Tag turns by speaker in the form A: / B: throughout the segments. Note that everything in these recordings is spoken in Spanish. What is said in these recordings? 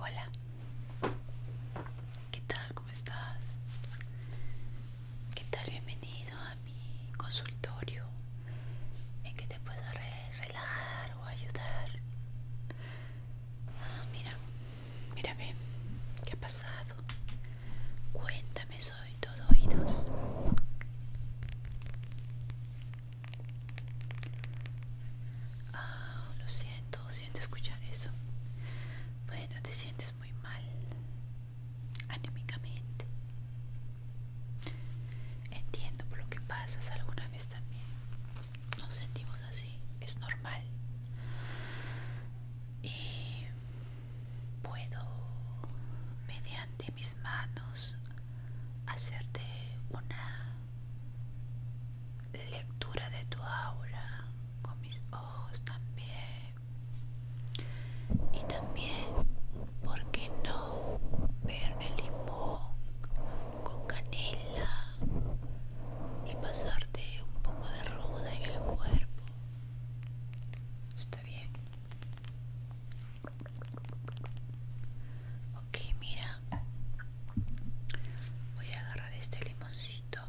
A: Hola, ¿qué tal? ¿Cómo estás? ¿Qué tal? Bienvenido a mi consultorio en que te puedo relajar o ayudar. Ah, mira, mírame, ¿qué ha pasado? Cuéntame soy todo oídos. Ah, lo siento, siento escuchar eso. Bueno, te sientes muy mal anímicamente. Entiendo por lo que pasas alguna vez también. Nos sentimos así, es normal. Y puedo mediante mis manos hacerte una lectura de tu aura con mis ojos también y también por qué no ver el limón con canela y pasarte un poco de ruda en el cuerpo Está bien. Ok, mira. Voy a agarrar este limoncito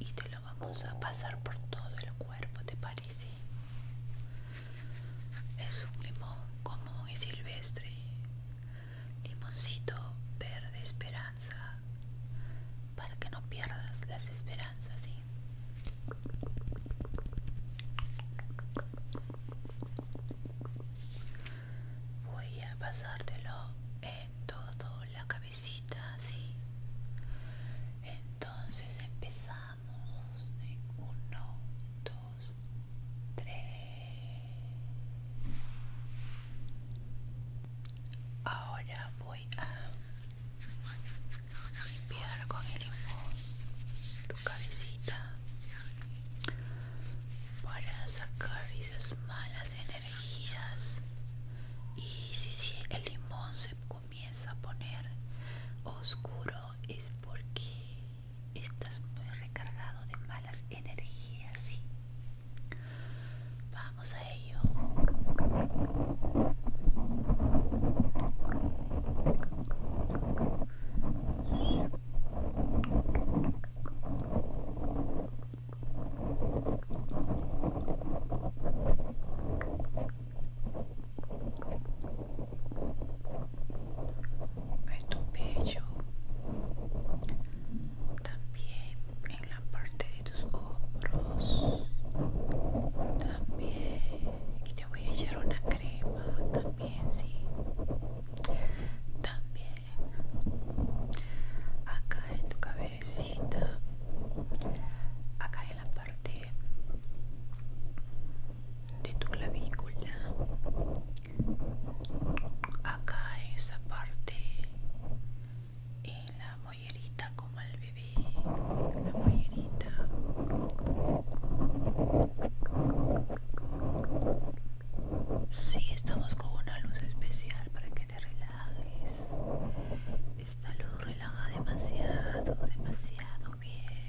A: y te lo vamos a pasar por todo el cuerpo, ¿te parece? Es un limón común y silvestre. Limoncito verde esperanza. Para que no pierdas las esperanzas, ¿sí? Voy a pasártelo en toda la cabecita, ¿sí? Entonces empezamos en 1, 2, 3. Ahora voy a limpiar con el limón tu cabecita para sacar esas malas energías y si, si el limón se comienza a poner oscuro es porque estás muy recargado de malas energías vamos a ello. a tu pecho, también en la parte de tus hombros también y te voy a echar una crema también sí también acá en tu cabecita acá en la parte de tu clavícula acá en esta parte y la mollerita como el bebé la mollerita Sí, estamos con una luz especial para que te relajes. Esta luz relaja demasiado, demasiado bien.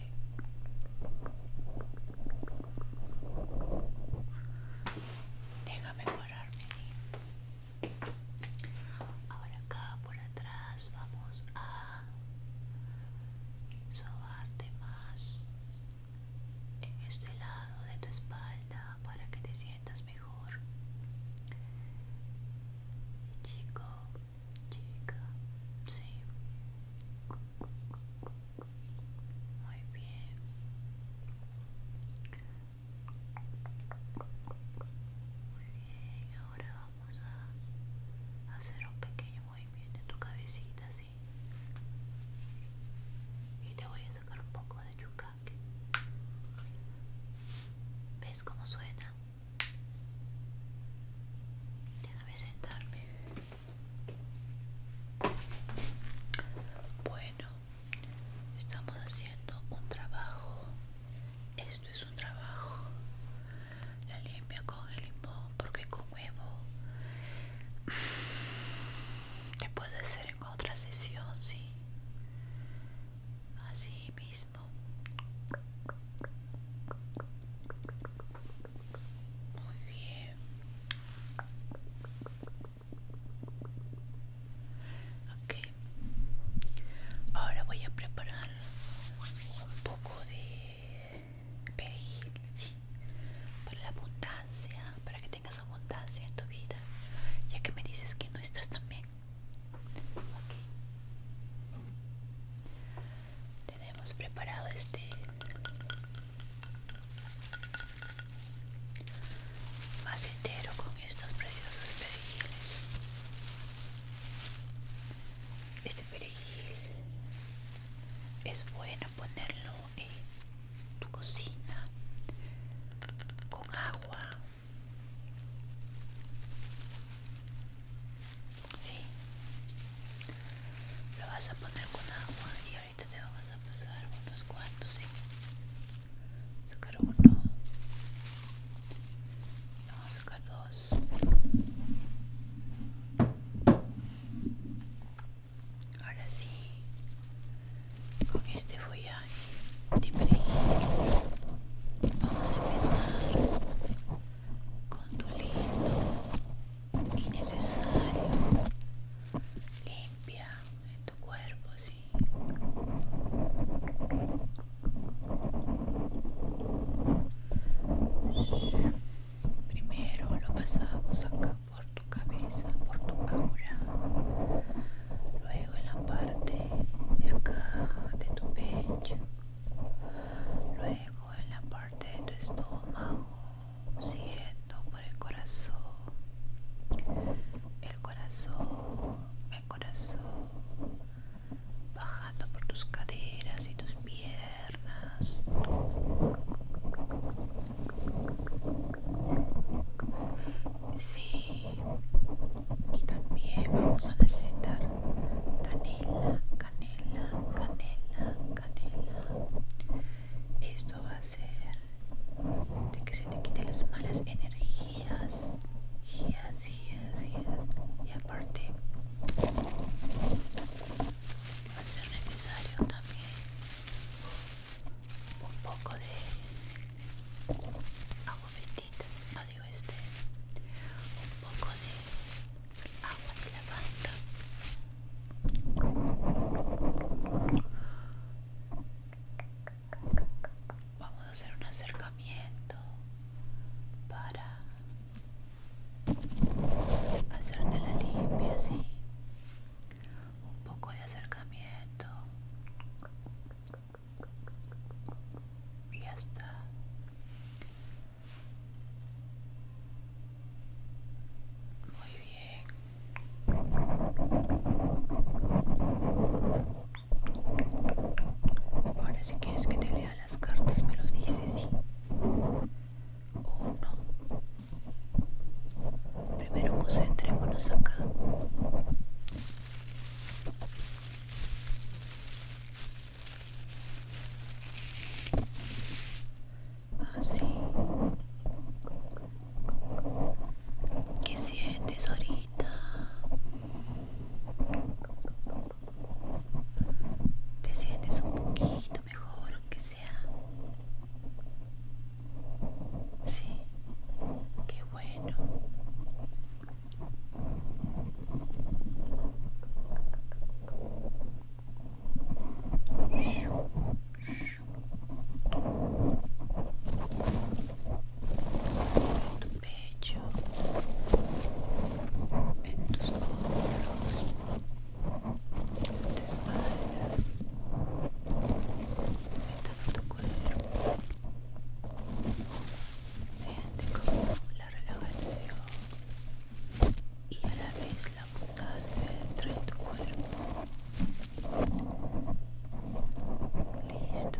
A: Déjame pararme. Ahora acá por atrás vamos a sobarte más en este lado de tu espalda para que te sientas mejor. Chico, chica, sí. Muy bien. Muy bien, ahora vamos a hacer un pequeño movimiento en tu cabecita así y te voy a sacar un poco de yucaque ves cómo suena déjame sentarme bueno estamos haciendo un trabajo esto es un trabajo. La limpia con el limón porque con huevo te puede hacer en otra sesión, sí. Así mismo. Muy bien. Ok, ahora voy a preparar un poco de perejil para la abundancia para que tengas abundancia en tu vida ya que me dices que no estás tan bien tenemos preparado este macetero con estos preciosos perejiles este perejil es bueno ponerlo en tu cocina con agua. Sí. Lo vas a poner con agua y ahorita te vamos a pasar unos cuantos, Sacar uno. Óscalos. Ahora sí, con este follaje de perejil vamos a empezar con tu lindo y necesario limpia en tu cuerpo, sí. Primero lo pasamos acá por tu cabeza, por tu aura. Luego en la parte de acá de tu pecho. Luego en la parte de tu estómago, siento por el corazón. El corazón, el corazón, bajando por tus caderas y tus piernas. Sí, y también vamos a necesitar canela, canela, canela, canela. Esto va a hacer de que se te quiten las malas energías. Energías, sí, es, así es. Y aparte va a ser necesario también un poco de agua bendita, no digo este, un poco de agua de lavanda vamos a hacer un acercamiento para hacerte la limpia ¿sí? un poco de acercamiento y ya está muy bien Ahora si quieres que te lea las cartas me lo dices, ¿sí? O no. Primero concentrémonos acá. Así. Ah, ¿Qué sientes ahorita? te sientes un poquito mejor, aunque sea. Sí, qué bueno hecho en tus hombros, en tu espalda, en tu cuerpo. Siente como la relajación y a la vez la abundancia entre tu cuerpo. Listo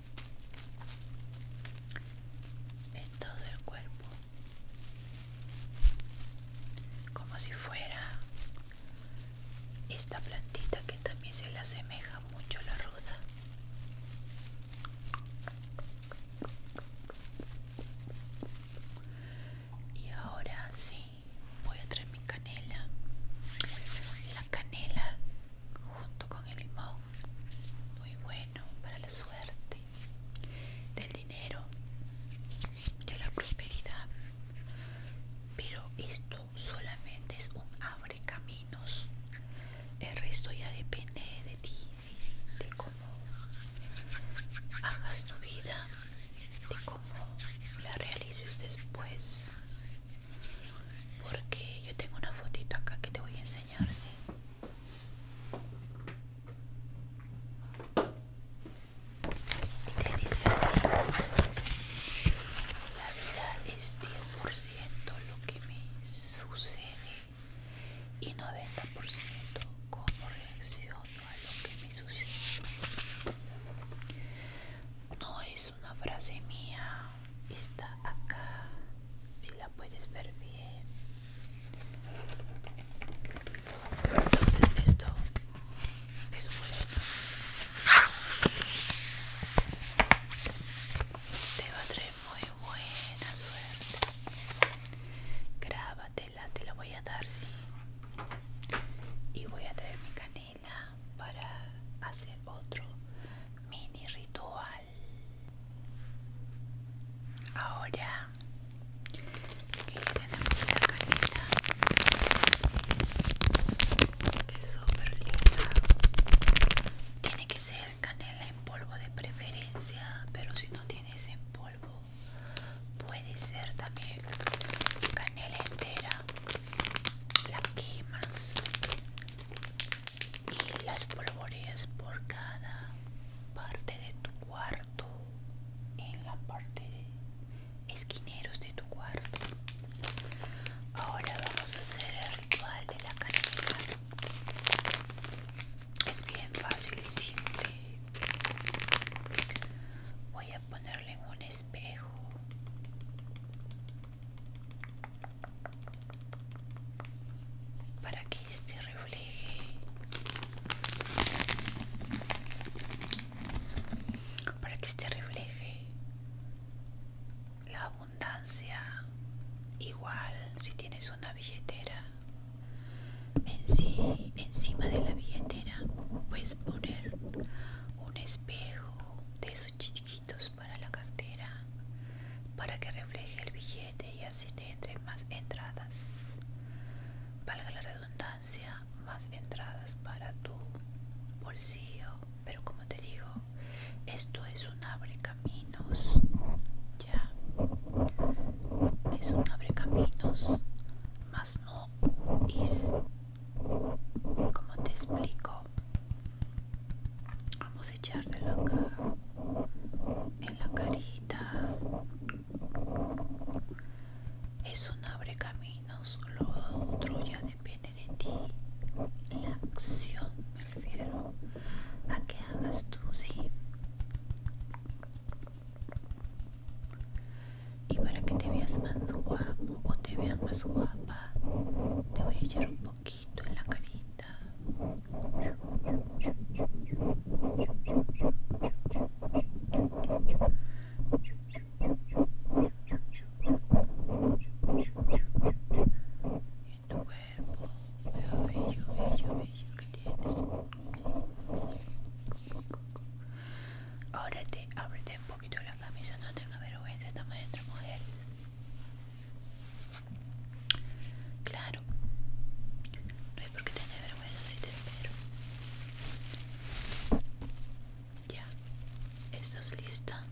A: en todo el cuerpo como si fuera esta plantita que también se le asemeja mucho la ruda y ahora sí voy a traer mi canela la canela junto con el limón muy bueno para la suerte, del dinero, de la prosperidad. Pero esto solamente es un abre caminos. El resto ya depende de ti, de cómo hagas tu vida, de cómo la realices después. Porque yo tengo una fotito acá que te voy a enseñar, dice la vida es 10% lo que me sucede y 90% cómo reacciono a lo que me sucede. No es una frase mía, está acá si la puedes ver bien entonces esto es un te va a traer muy buena suerte grábatela te la voy a dar sí y voy a traer mi canela para hacer otro mini ritual Ahora que tenemos la canela que es súper linda, tiene que ser canela en polvo de preferencia, pero si no tienes en polvo, puede ser también canela entera, la quemas y las polvoreas por cada parte de tu cuarto en la parte de esquineros de tu cuarto ahora vamos a hacer el ritual de la canasta es bien fácil y simple voy a ponerle en un espejo para que este refleje para que este refleje la abundancia igual si tienes una billetera encima de la billetera puedes poner un espejo de esos chiquitos para la cartera para que refleje el billete y así entre más entradas valga la redundancia más entradas para tu bolsillo pero como te digo esto es un abre caminos ya es un abre caminos más no es como te explico vamos podemos echártelo acá en la carita es un abre caminos lo otro ya depende de ti la acción me refiero a que hagas tú sí y para que te veas más guapo o te veas más guapa te voy a echar un poquito poquito en la carita. En tu cuerpo, lo bello, bello, bello que tienes. Ahora te ábrete un poquito la camisa, no tenga vergüenza esta maestra mujer. Claro, no hay por qué tener vergüenza si te espero. Ya, ¿estás lista?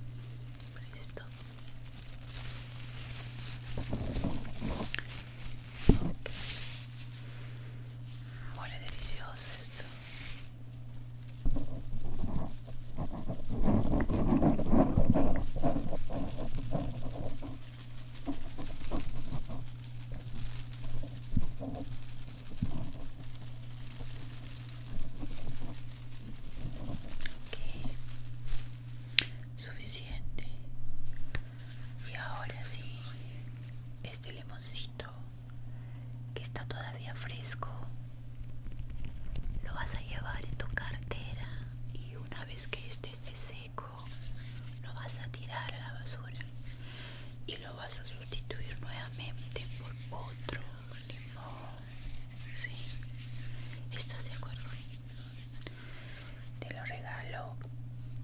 A: Listo. Listo Huele delicioso esto suficiente y ahora sí este limoncito que está todavía fresco lo vas a llevar en tu cartera y una vez que este esté seco lo vas a tirar a la basura y lo vas a sustituir nuevamente por otro limón. ¿Estás de acuerdo? Te lo regalo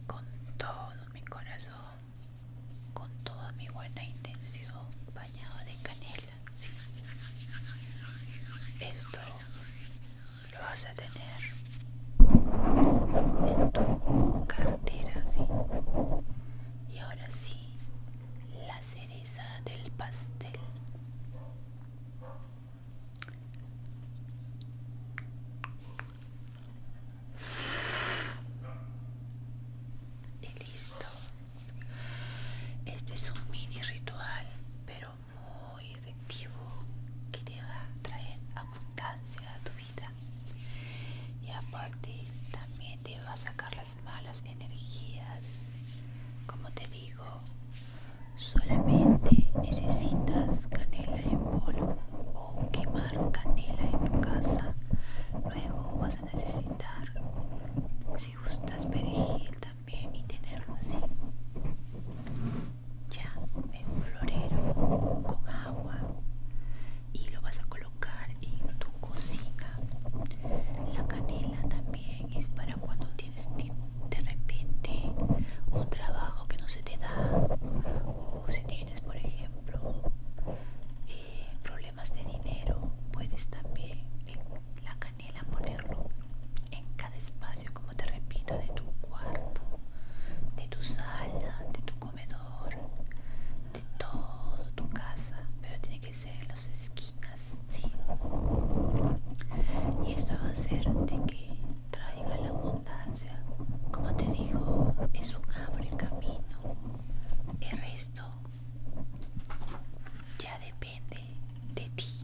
A: con todo mi corazón, con toda mi buena intención, bañado de canela. Esto lo vas a tener en tu cartera y ahora sí la cereza del pastel y listo este es un mini ritual pero muy efectivo que te va a traer abundancia a tu vida y aparte también te va a sacar las malas energías como te digo solamente necesitas canela en polvo o quemar canela en tu casa luego vas a necesitar si gustas perejil también y tenerlo así ya en un florero con agua y lo vas a colocar en tu cocina. La canela también es para cuando tienes de repente un trabajo que no se te da o si tienes, por ejemplo, eh, problemas de dinero, puedes también la canela ponerlo en cada espacio te repito, de tu cuarto, de tu sala, de tu comedor, de todo tu casa, pero tiene que ser en las esquinas, ¿sí? Y esto va a ser de que traiga la abundancia. Como te digo, es un abrir camino. El resto ya depende de ti.